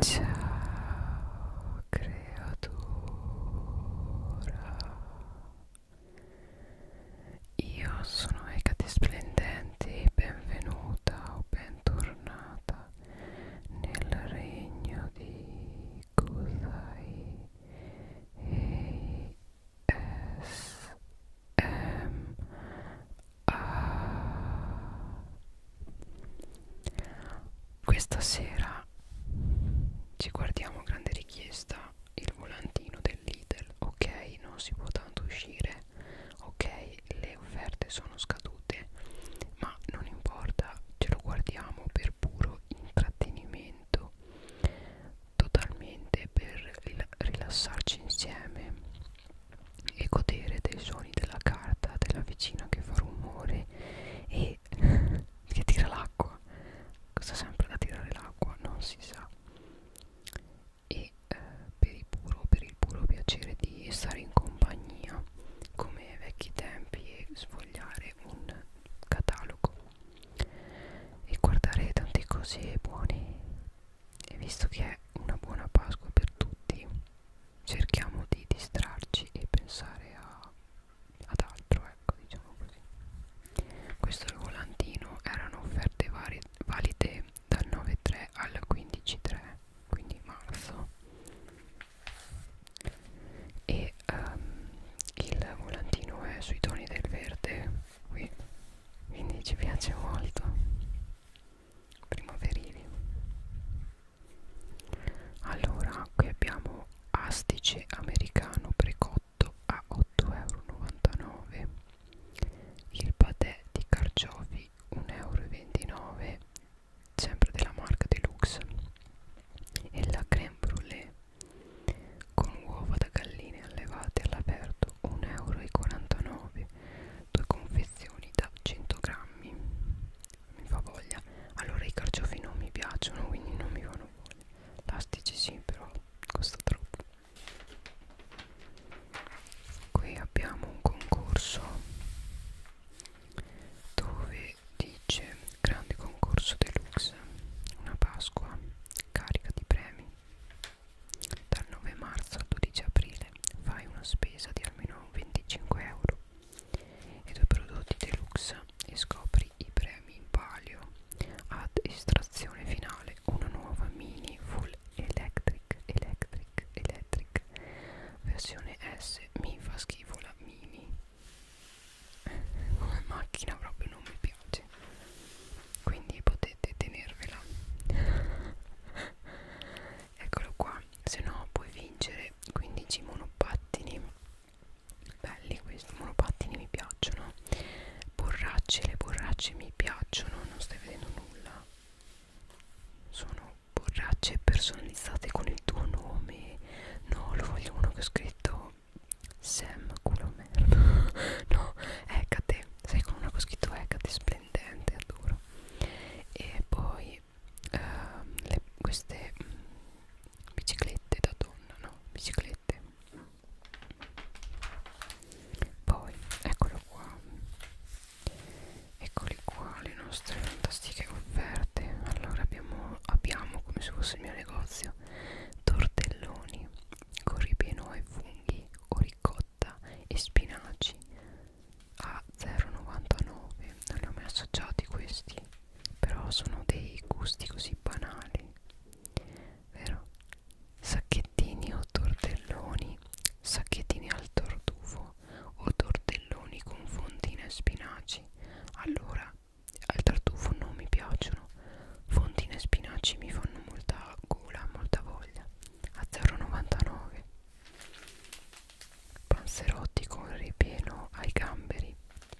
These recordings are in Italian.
Ciao creatura Io sono Ecate Splendente benvenuta o bentornata nel regno di Kusai e S M A questa sera ci guardiamo grande richiesta il volantino del Lidl. Ok, non si può tanto uscire. Ok, le offerte sono scadute, ma non importa, ce lo guardiamo per puro intrattenimento, totalmente per rilassarci insieme e godere dei suoni della carta della vicina che fa rumore e che tira l'acqua cosa sempre da tirare l'acqua non si sa e eh, per, il puro, per il puro piacere di stare in compagnia come ai vecchi tempi e sfogliare un catalogo e guardare tante cose buone e visto che è una buona Pasqua per tutti cerchiamo di distrarci e pensare a, ad altro ecco diciamo così questo è il volantino erano offerte varie, valide dal 9.3 al 15.3 quindi marzo e um, il volantino è sui toni del verde qui quindi ci piace molto primaverivi allora qui abbiamo astice americano precotto a 8,99€ il patè di carciofi 1,29€ sempre della marca deluxe e la creme brulee con uova da galline allevate all'aperto 1,49€ due confezioni da 100 grammi mi fa voglia allora i carciofi non mi piacciono quindi non mi fanno voglia elastici sì però costa troppo qui abbiamo un concorso dove dice grande concorso deluxe una pasqua carica di premi dal 9 marzo al 12 aprile fai una spesa di almeno 25 euro e due prodotti deluxe e scopri i premi in palio ad estrazione finale una nuova mini full electric electric electric versione S mi fa schifo la mini come macchina proprio non mi piace quindi potete tenervela eccolo qua se no puoi vincere comprare 15 monopattini belli questi monopattini mi piacciono borracce le borracce mi piacciono non stai vedendo nulla sono borracce personalizzate con il tuo nome no lo voglio uno che ho scritto Sam culo merda no Ecate sai con una che ho scritto Ecate splendente adoro e poi quindi eh, le, queste mh, mm, biciclette da donna no biciclette poi eccolo qua eccoli qua le nostre fantastiche offerte allora abbiamo, abbiamo come se fosse il mio negozio tortelloni con ripieno ai funghi o ricotta e spinaci a 0,99 non li ho mai assaggiati questi però sono dei gusti così banali vero? sacchettini o tortelloni sacchettini al tortufo o tortelloni con fondina e spinaci allora al tartufo non mi piacciono fondine e spinaci mi fanno molta gola molta voglia a 0,99 Panzerotti con ripieno ai gamberi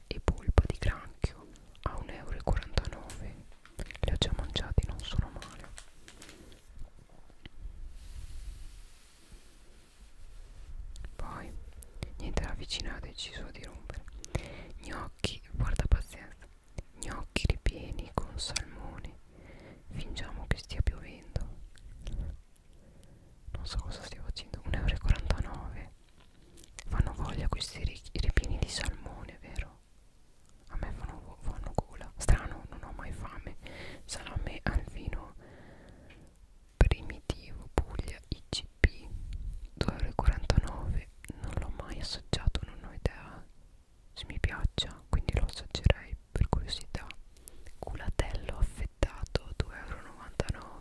e polpa di granchio a 1,49 euro. Li ho già mangiati, non sono male. Poi, niente, la vicina ha deciso di rompere. Gnocchi, guarda pazienza, gnocchi ripieni con salmone. Fingiamo che stia piovendo non so cosa stia facendo 1,49 euro fanno voglia questi ripieni di salmone vero? a me fanno, fanno gola strano non ho mai fame salame al vino primitivo Puglia ICP 2,49 euro non l'ho mai assaggiato non ho idea se mi piaccia quindi lo assaggerei per curiosità culatello affettato 2,99 euro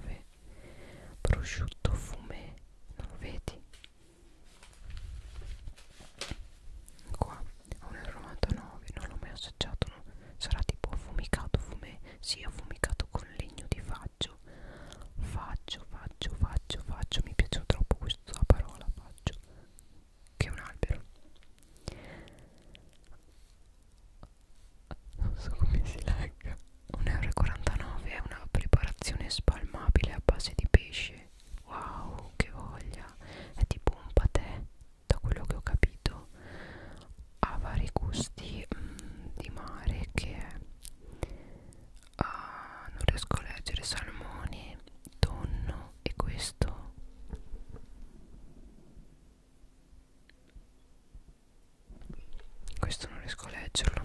prosciutto fumé non lo vedi? qua 1,99 euro non l'ho mai assaggiato no? sarà tipo affumicato fumé si sì, affumicato con legno di faggio faggio faggio faggio faggio mi piace troppo questa parola faggio che un albero non so come si legga 1,49 euro è una preparazione spalmabile a base di pesce wow che voglia è tipo un patè da quello che ho capito ha vari gusti mh, mm, di mare che è ah, non riesco a leggere salmone tonno e questo questo non riesco a leggerlo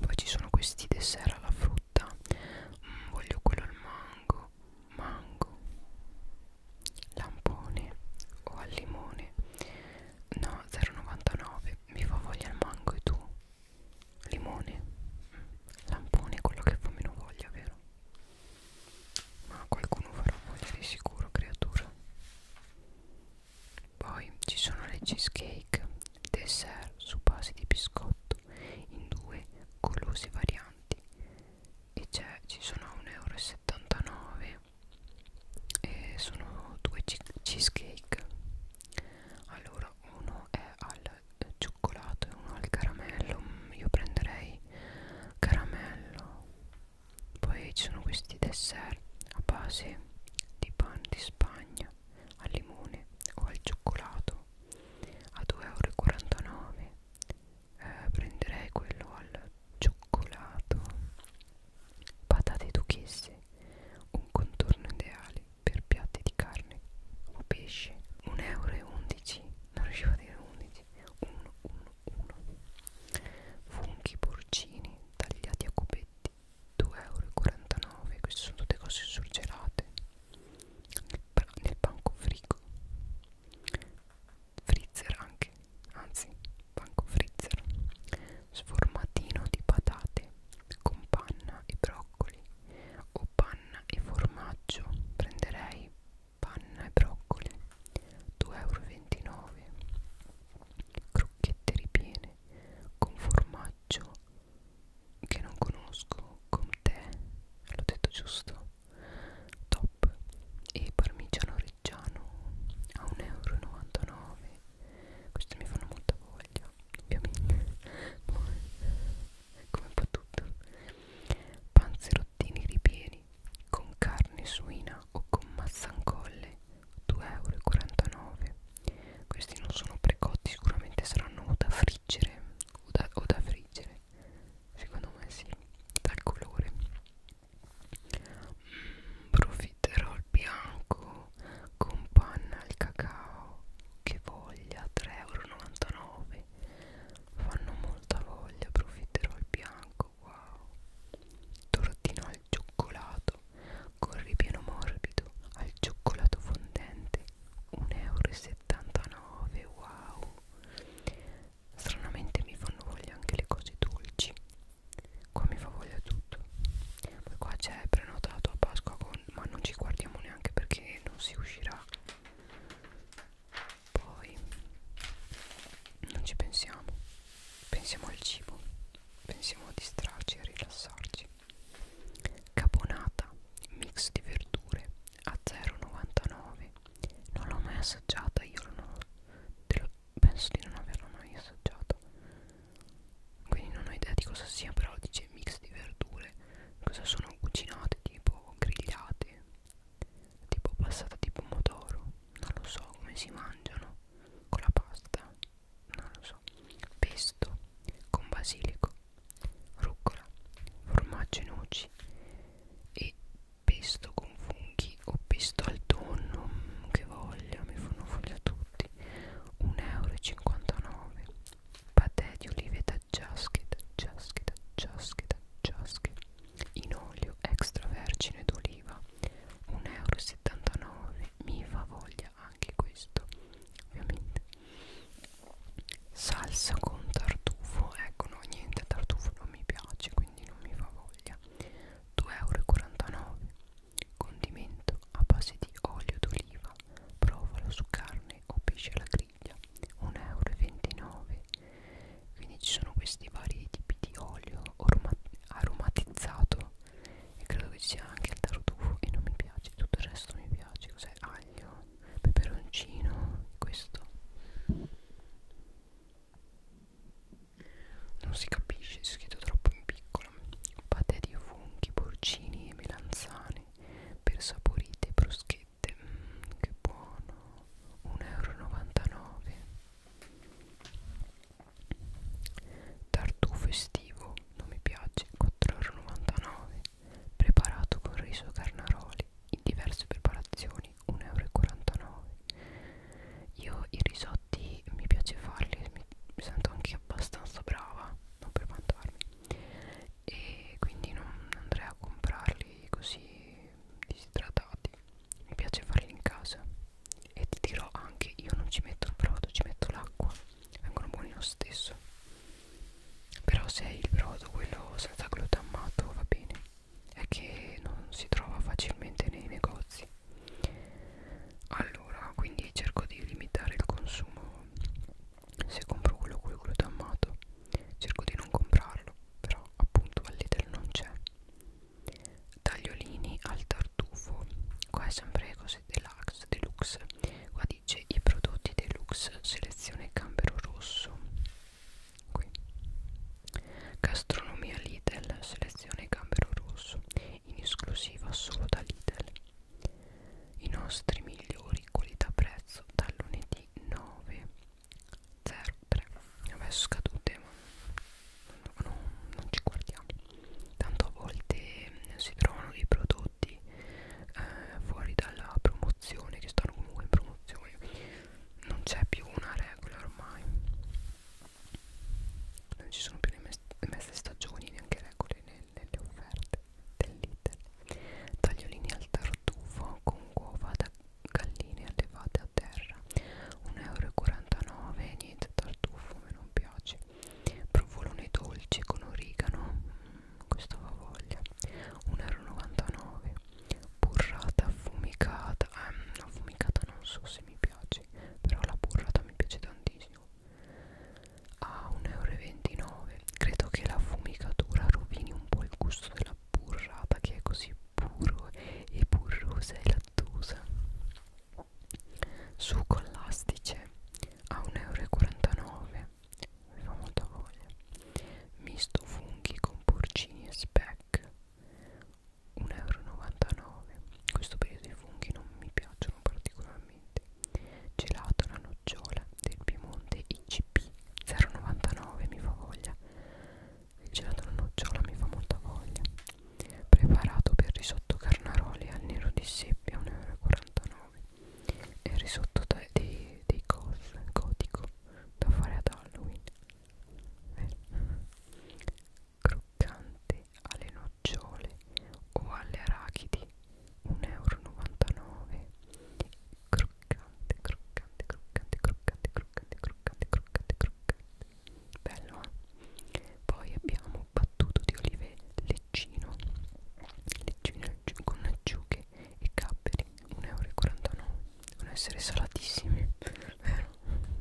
poi ci sono questi dessert alla frutta mm, voglio quello al mango mango lampone o al limone no 0,99 mi fa voglia il mango e tu limone mm. lampone è quello che fa meno voglia vero ma qualcuno farà voglia di sicuro creatura poi ci sono le cheesecake dessert su base di biscotto in due colose varianti e ci sono a 1,79 euro e sono due cheesecake allora uno è al cioccolato e uno al caramello io prenderei caramello poi ci sono questi dessert a base di pan di spagna al limone o al cioccolato a 2,49 euro eh, prenderei quello al cioccolato patate duchesse un contorno ideale per piatti di carne o pesce 1,11 euro non riuscivo a dire 11 insieme 1 1 1 funghi porcini tagliati a cubetti 2,49 euro queste sono tutte cose surgelate nel, nel banco frigo freezer anche anzi banco freezer sformatino di patate con panna e broccoli o panna e formaggio prenderei panna e broccoli 2,29 euro crocchette ripiene con formaggio che non conosco con te l'ho detto giusto top e parmigiano reggiano a 1,99 euro queste mi fanno molta voglia ovviamente come un po' tutto panzerottini ripieni con carne suina o con mazzancolle 2,49 euro questi non sono precotti sicuramente saranno o da friggere o da, o da friggere secondo me sì dal colore mm, profiterol bianco con panna al cacao che voglia 3,99 euro colori fanno molta voglia profiterol bianco wow tortino al cioccolato con ripieno morbido al cioccolato fondente 1,79 euro wow stranamente mi fanno voglia anche le cose dolci qua mi fa voglia tutto poi qua c'è prenotato a Pasqua con ma non ci guardiamo neanche perché non si uscirà poi non ci pensiamo pensiamo al cibo pensiamo a distrarci e a rilassarci caponata mix di verdure a 0,99 non l'ho mai assaggiata io non ho, lo, penso di non averla mai assaggiata quindi non ho idea di cosa sia però dice mix di verdure cosa sono cucinate tipo grigliate tipo passata di pomodoro non lo so come si mangiano con la pasta non lo so pesto con basilico rucola formaggio e noci e pesto con funghi o pesto al tonno mm, che voglia mi fanno voglia tutti 1,59 euro patè di olive da jasket jasket jasket jasket in olio extravergine d'oliva 1,79 euro mi fa voglia anche questo ovviamente salsa con tartufo ecco no niente tartufo non mi piace quindi non mi fa voglia 2,49 euro condimento a base di olio d'oliva provalo su carne o pesce alla briglia 1,29 euro quindi ci sono questi vari tipi di olio aromatizzato e credo che ci sia anche il tartufo e non mi piace tutto il resto mi piace cos'è aglio peperoncino questo non si capisce, è scritto troppo in piccolo. Patè di funghi, porcini e melanzane per saporite bruschette pacchetto mm, che buono 1,99 euro tartufo estivo non mi piace 4,99 euro preparato con riso carnaroli in diverse preparazioni 1,49 euro io i risotti mi piace farli mi sento anche abbastanza brava non per vantarmi e quindi non andrei a comprarli così disidratati mi piace farli in casa e ti dirò anche io non ci metto il brodo ci metto l'acqua vengono buoni lo stesso però se è il brodo quello senza glutammato va bene è che non si trova facilmente nei negozi allora quindi cerco di limitare il consumo se compro quello col glutammato cerco di non comprarlo però appunto al Lidl non c'è tagliolini al tartufo qua è sempre cose deluxe deluxe qua dice i prodotti deluxe selezione gambero rosso qui gastronomia Lidl selezione gambero rosso in esclusiva solo da Lidl i nostri migliori qualità prezzo dal lunedì 9 0 3 vabbè sono scadute ma non, non, non ci guardiamo tanto a volte mh, eh, si trovano dei prodotti eh, fuori dalla promozione che stanno comunque in promozione non c'è più una regola ormai non ci sono più le messe stagioni neanche regole nelle offerte dell'iter tagliolini al tartufo con uova da galline allevate a terra 1,49€ niente tartufo me non piace provolone dolce con origano mm, questo va voglia 1,99€ burrata affumicata ehm, affumicata non so se mi piace però la burrata mi piace tantissimo a ah, 1,29€ credo che la fumicatura rovini un po' il gusto della burrata che è così puro e burrosa e lattosa succo all'astice a 1,49 euro mi fa molta voglia misto funghi con porcini e speck 1,99 euro questo periodo i funghi non mi piacciono particolarmente gelato alla nocciola del Piemonte IC BP099 mi fa voglia il gelato alla nocciola mi fa molta voglia preparato per risotto carnaroli al nero di seppia 1,49 euro e il risotto dei, dei, dei cos gotico da fare ad Halloween eh. croccante alle nocciole o alle arachidi 1,99 euro croccante, croccante, croccante, croccante, croccante, croccante, croccante, croccante. Bello, eh? Poi abbiamo battuto di olive leccino, leccino con acciughe e capperi, 1,49 euro. Devono essere salatissimi, vero?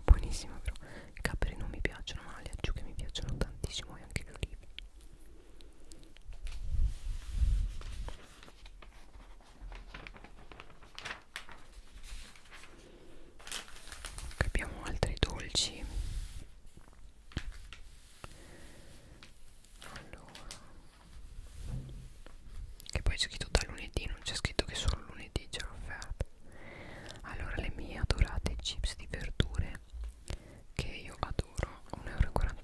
Buonissimo, però. I capperi non mi piacciono, ma le acciughe mi piacciono tantissimo e anche le olive abbiamo altri dolci allora che poi c'è scritto da lunedì non c'è scritto che solo lunedì c'è l'offerta allora le mie adorate chips di verdure che io adoro 1,49 euro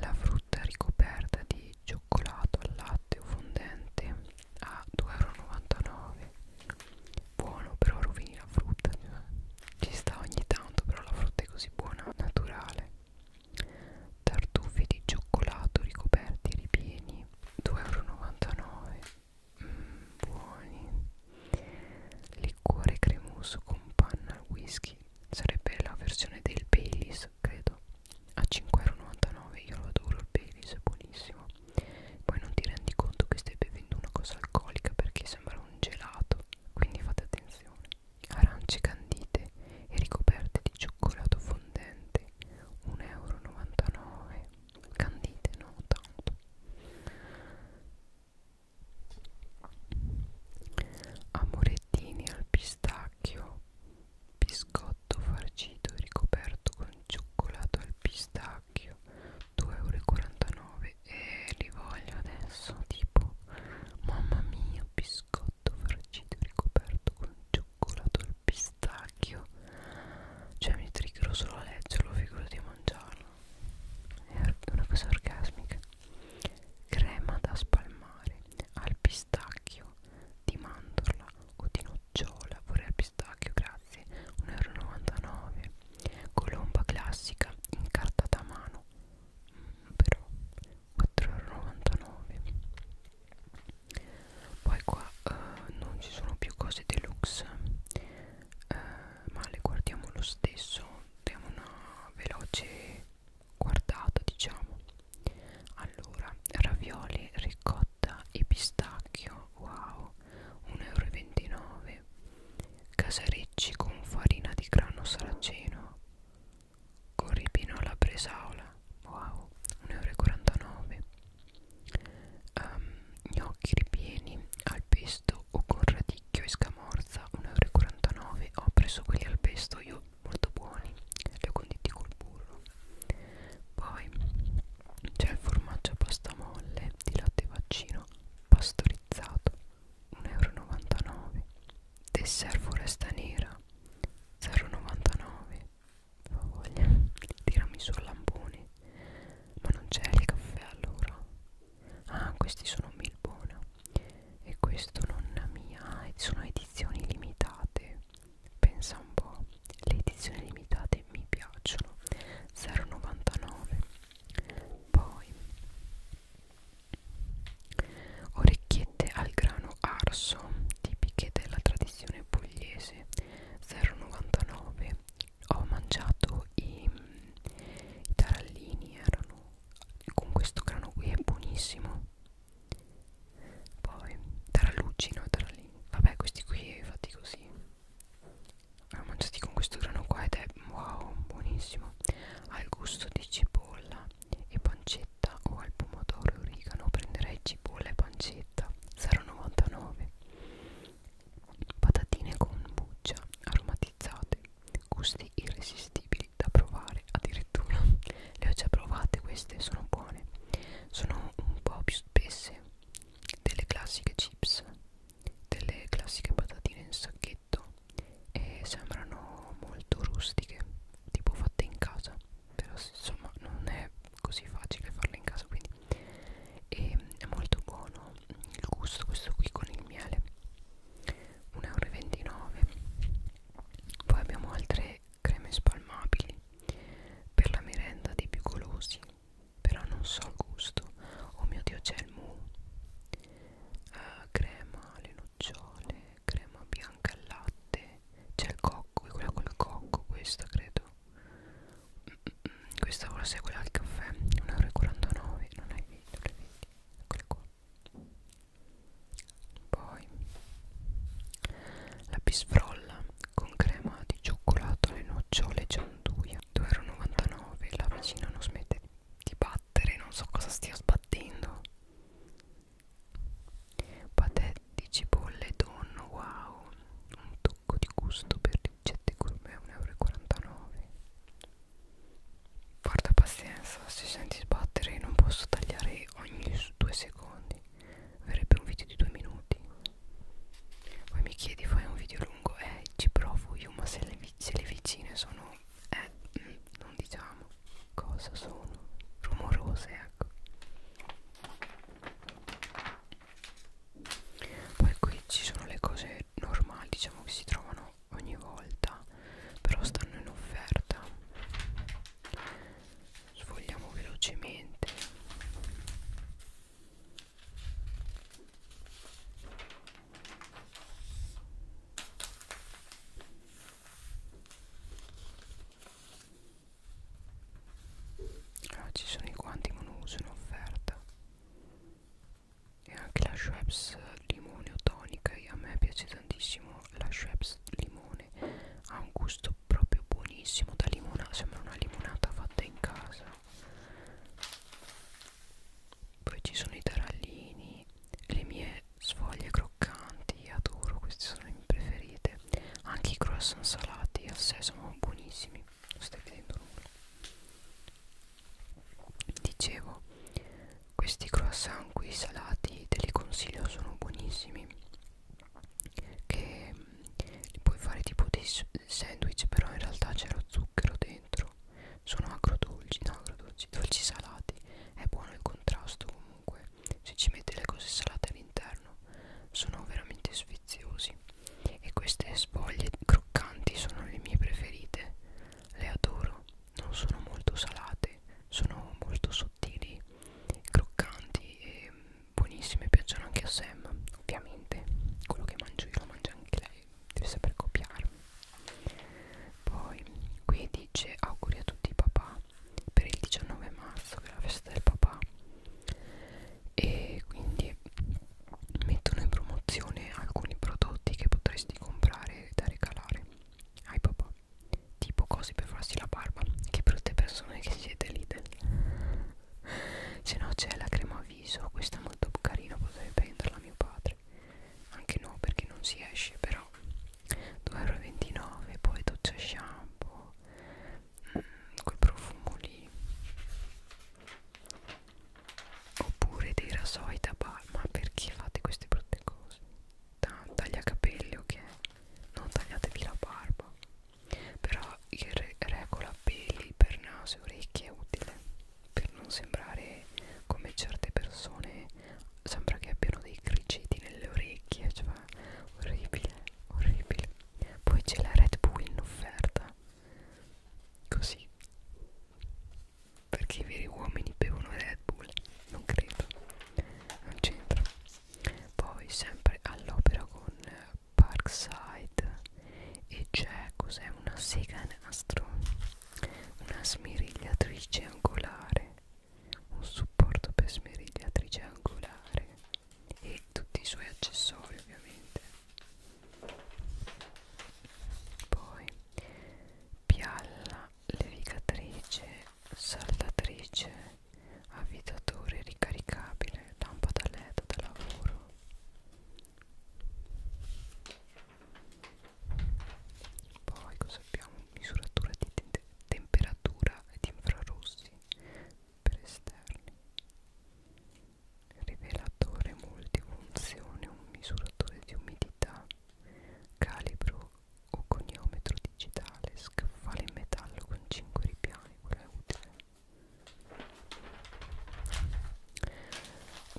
la frutta ricoperta di cioccolato al latte o fondente a 2,99 euro. Buono, però rovini la frutta. Ci sta ogni tanto, però la frutta è così buona, naturale. Tartufi di cioccolato ricoperti e ripieni 2,99 euro. Mm, buoni liquore cremoso con panna al whisky sarebbe la versione del Baileys credo a 5,99€ io lo adoro il Baileys è buonissimo poi non ti rendi conto che stai bevendo una cosa alcolica perché sembra un gelato quindi fate attenzione arance candite e ricoperte di cioccolato fondente 1,99€ candite no tanto amorettini al pistacchio biscotto farcito ricoperto con cioccolato al pistacchio 2,49 euro e eh, li voglio adesso tipo mamma mia biscotto farcito ricoperto con cioccolato al pistacchio cioè mi triggerò solo a leggerlo figurati a mangiarlo è una cosa orgasmica crema da spalmare al pistacchio di mandorla o di nocciola vorrei al pistacchio grazie 1,99 euro colomba classica incartata a mano mm, però 4,99 poi qua uh, non ci sono più cose deluxe uh, ma le guardiamo lo stesso diamo una veloce guardata diciamo allora ravioli ricotta e pistacchio wow 1,29 euro casarecci con farina di grano saraceno con ripino alla bresaola wow 1,49 euro um, gnocchi ripieni al pesto o con radicchio e scamorza 1,49 euro ho preso quelli al pesto io molto buoni li ho conditi col burro poi c'è il formaggio a pasta molle di latte vaccino pastorizzato 1,99 euro dessert foresta nera 0,99 fa voglia tirami sul lampone ma non c'è il caffè allora ah questi sono Milbona e questo nonna mia sono edizioni limitate pensa un po' le edizioni limitate mi piacciono 0,99 poi orecchiette al grano arso tipiche della tradizione pugliese 0,99 ho mangiato i, i tarallini erano con questo grano qui è buonissimo poi tarallucci no tarallini vabbè questi qui fatti così li ho mangiati con questo grano qua ed è wow buonissimo ha il gusto di cipolla e pancetta o al pomodoro e origano prenderei cipolla e pancetta 0,99 patatine con buccia aromatizzata aromatizzate, gusti irresistibili da provare addirittura. Le ho già provate queste, sono buone. Sono un po' più spesse delle classiche chips, delle classiche patatine in sacchetto e sembrano molto rustiche, tipo fatte in casa. Però insomma non è così facile farle in casa quindi e ehm, è molto buono il gusto questo qui con il miele 1,29 euro poi abbiamo altre creme spalmabili per la merenda dei più golosi però non so il gusto oh mio dio c'è il mu uh, crema alle nocciole crema bianca al latte c'è il cocco è quella col cocco questa credo mm, mm, mm questa forse è quella del caffè 1,49 euro non è vedi non è vedi eccola qua poi la bisfrolla con crema di cioccolato alle nocciole gianduia 2,99 euro la vicina non smette di battere non so cosa stia sbattendo patè di cipolle e tonno wow un tocco di gusto per biglietti gourmet 1,49 euro porta pazienza se senti sbattere non posso tagliare ogni due secondi verrebbe un video di due minuti poi mi chiedi fai un video lungo eh ci provo io ma se le, se le vicine sono eh mm, non diciamo cosa sono rumorose ecco poi qui ci sono le cose normali diciamo che si trovano ogni volta però stanno in offerta sfogliamo velocemente Ah, ci sono i guanti monouso in offerta e anche la Schweppes limone o tonica e a me piace tantissimo la Schweppes limone ha un gusto proprio buonissimo da limonata sembra una limonata fatta in casa poi ci sono i tarallini le mie sfoglie croccanti adoro queste sono le mie preferite anche i croissant salati al sesamo buonissimi non stai vedendo nulla dicevo questi croissant qui salati te li consiglio sono buonissimi che mm, li puoi fare tipo dei sandwich però in realtà c'è lo zucchero dentro sono agrodolci no agrodolci dolci salati è buono il contrasto comunque se ci metti le cose salate all'interno sono veramente sfiziosi e queste spoglie croccanti sono le mie preferite le adoro non sono molto salate sono molto sottili croccanti e buonissime piacciono anche a Sam ovviamente quello che mangio io lo mangia anche lei deve saper copiarmi poi qui dice auguri a tutti i papà per il 19 marzo che è la festa del papà e quindi mettono in promozione alcuni prodotti che potresti comprare da regalare ai papà tipo cose per farsi la barba che brutte persone che siete lì se no c'è la crema viso questa è molto carina potrei prenderla mio padre anche no perché non si esce però 2,29€ poi doccia shampoo mm, quel profumo lì oppure dei rasoi da palma perché fate queste brutte cose da, taglia capelli ok non tagliatevi la barba però il re regola peli per naso e orecchie è utile per non sembrare come certe persone sembra che abbiano dei criceti nelle orecchie cioè orribile orribile poi c'è la Red Bull in offerta Così Perché i veri uomini bevono Red Bull? Non credo Non c'entra Poi sempre all'opera con eh, Parkside E c'è cos'è una sega nastro Una smirigliatrice angolare Un supporto per smirigliatrice angolare E tutti i suoi accessori ovviamente poi pialla levigatrice saldatrice avvitatore ricaricabile lampada led da lavoro poi cosa abbiamo misuratura di te temperatura ed infrarossi per esterni rivelatore multifunzione, un misuratore di umidità, calibro o coniometro digitale, scaffale in metallo con 5 ripiani, quello è utile.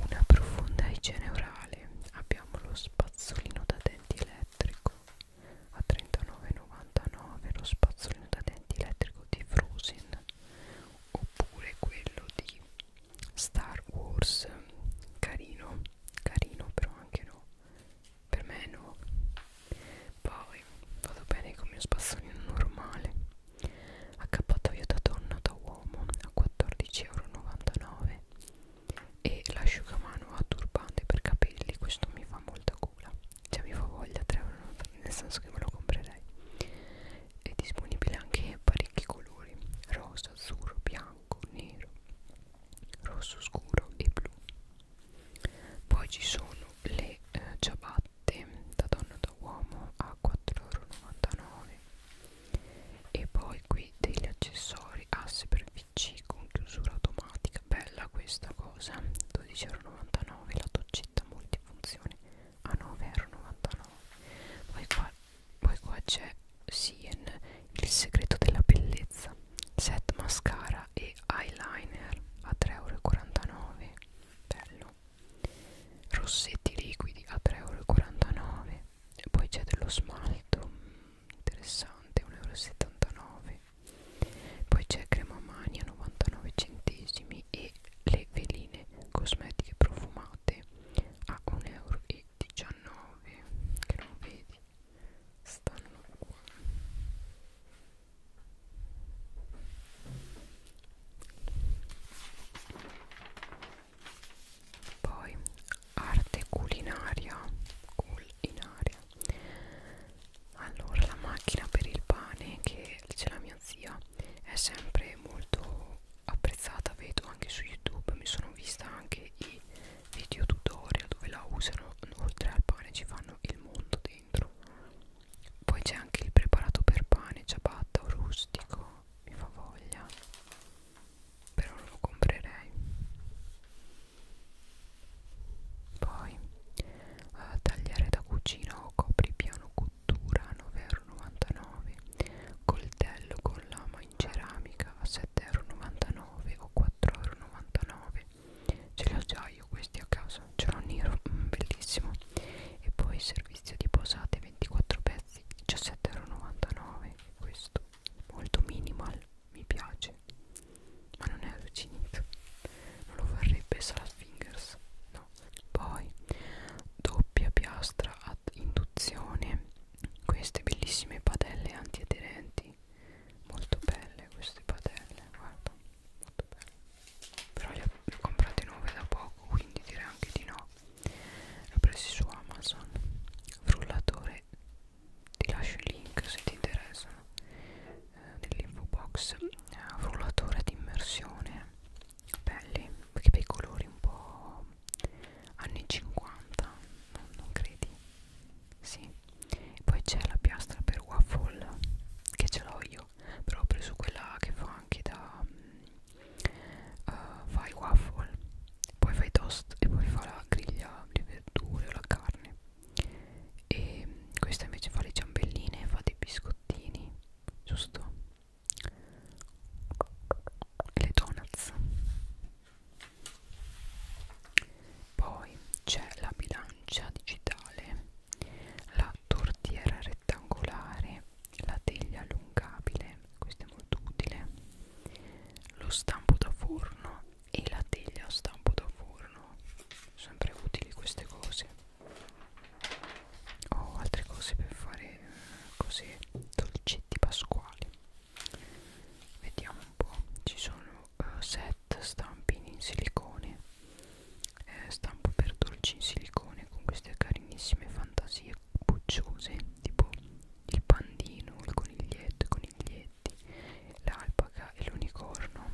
Una profonda igiene orale, abbiamo lo spazzolino da denti elettrico a 39,99 lo spazzolino da denti elettrico di Frozen oppure quello di Star Wars carino carino però anche no per me no poi vado bene con il mio spazzolino normale accappatoio da donna da uomo a 14,99€ e l'asciugamano a turbante per capelli questo mi fa molta cura cioè mi fa voglia 3,99€ nel senso che me lo comprerei è disponibile anche parecchi colori rosa, azzurro, bianco, nero rosso scuro e blu poi ci sono le eh, ciabatte da donna da uomo a 4,99€ e poi qui degli accessori asse ah, per pc con chiusura automatica bella questa cosa 12,99€ la doccetta multifunzione a ah, 9,99€ poi qua, poi qua c'è Sien il segreto della bellezza set mascara e eyeliner a 3,49€ bello rossetti liquidi a 3,49€ e poi c'è dello smalto interessante 1,79€ poi c'è crema mani a 99 centesimi e le veline cosmetiche profumate notte a 1,19 euro che non vedi stanno qua poi arte culinaria culinaria allora la macchina per il pane che c'è la mia zia è sempre molto apprezzata vedo anche su youtube mi sono vista anche i video tutorial dove la usano oltre al pane ci fanno il mondo dentro poi c'è anche il preparato per pane ciabatta o rustico mi fa voglia però non lo comprerei poi eh, tagliare da cucina o copri piano cottura a 9,99€, coltello con lama in ceramica a 7,99€ o 4,99€. Ce li ho già io questi a casa, ce l'ho nero, mm, bellissimo. E poi servizio di posate 24 pezzi, 17,99€. Questo molto minimal, mi piace, ma non è arrugginito. Non lo farebbe Salad Fingers, no? piano poi doppia piastra ad induzione queste bellissime padelle antiaderenti molto belle queste padelle guarda molto belle però le ho comprate nuove da poco quindi direi anche di no le ho prese su Amazon frullatore ti lascio il link se ti interessano eh, nell'info box eh, frullatore di immersione belli perché bei colori un po' anni 50 non, non credi? Sì. Poi c'è la piastra per waffle che ce l'ho io, però ho preso quella che fa anche da uh, fai waffle, poi fai toast e poi fa la griglia di verdure o la carne. E questa invece fa le ciambelline, fa dei biscottini, giusto? e le donuts poi c'è la bilancia digitale la tortiera rettangolare la teglia allungabile questo è molto utile lo stampo da forno e la teglia a stampo da forno sempre utili queste cose ho altre cose per fare eh, così dolcetti pasquali vediamo un po' ci sono uh, set stampini in silicone eh, stampo per dolci in silicone con queste carinissime fantasie bucciose tipo il pandino il coniglietto i coniglietti l'alpaca e l'unicorno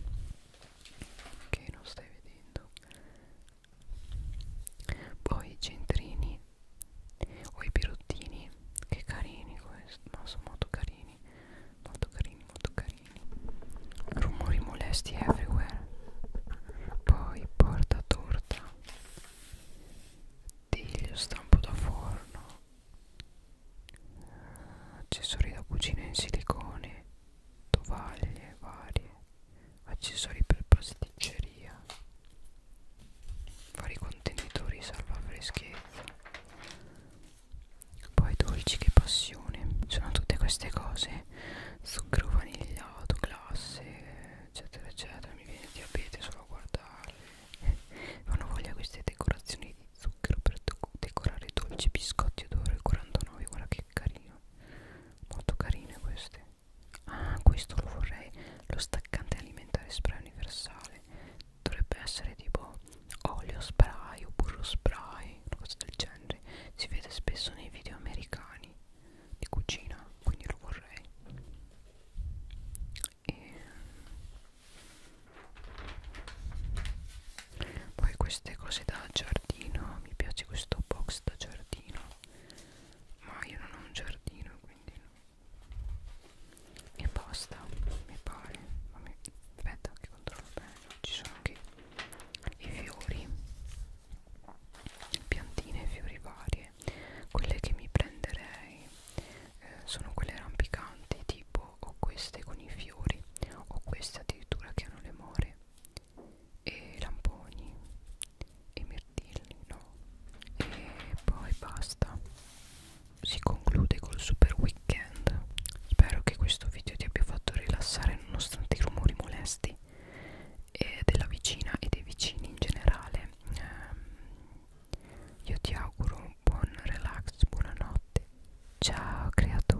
che non stai vedendo poi i centrini o i pirottini che carini questi ma sono molto carini molto carini molto carini rumori molesti everywhere poi porta torta tiglio stampo da forno accessori da cucina in silicone tovaglie varie accessori per pasticceria vari contenitori salva freschezza poi dolci che passione sono tutte queste cose zucchero vanigliato classe eccetera eccetera mi viene il diabete solo a guardarle fanno voglia queste decorazioni di zucchero per decorare dolci biscotti d'oro e 49 guarda che carino molto carine queste Ah, questo lo vorrei. Lo staccante alimentare spray universale. Dovrebbe essere tipo olio spray o burro spray, una cosa del genere. Si vede spesso nei video americani di cucina, quindi lo vorrei. E poi queste cose da giardino, mi piace questo box da giardino ma io non ho un giardino quindi no. e basta mi pare ma mi... aspetta che controllo bene ci sono anche i fiori piantine e fiori varie quelle che mi prenderei eh, sono quelle rampicanti tipo o queste con i fiori o queste addirittura che hanno le more e lamponi e mirtilli no e poi basta si conclude col super weekend spero che questo video ti abbia fatto rilassare nonostante i rumori molesti e della vicina e dei vicini in generale ehm, io ti auguro un buon relax buonanotte ciao creatura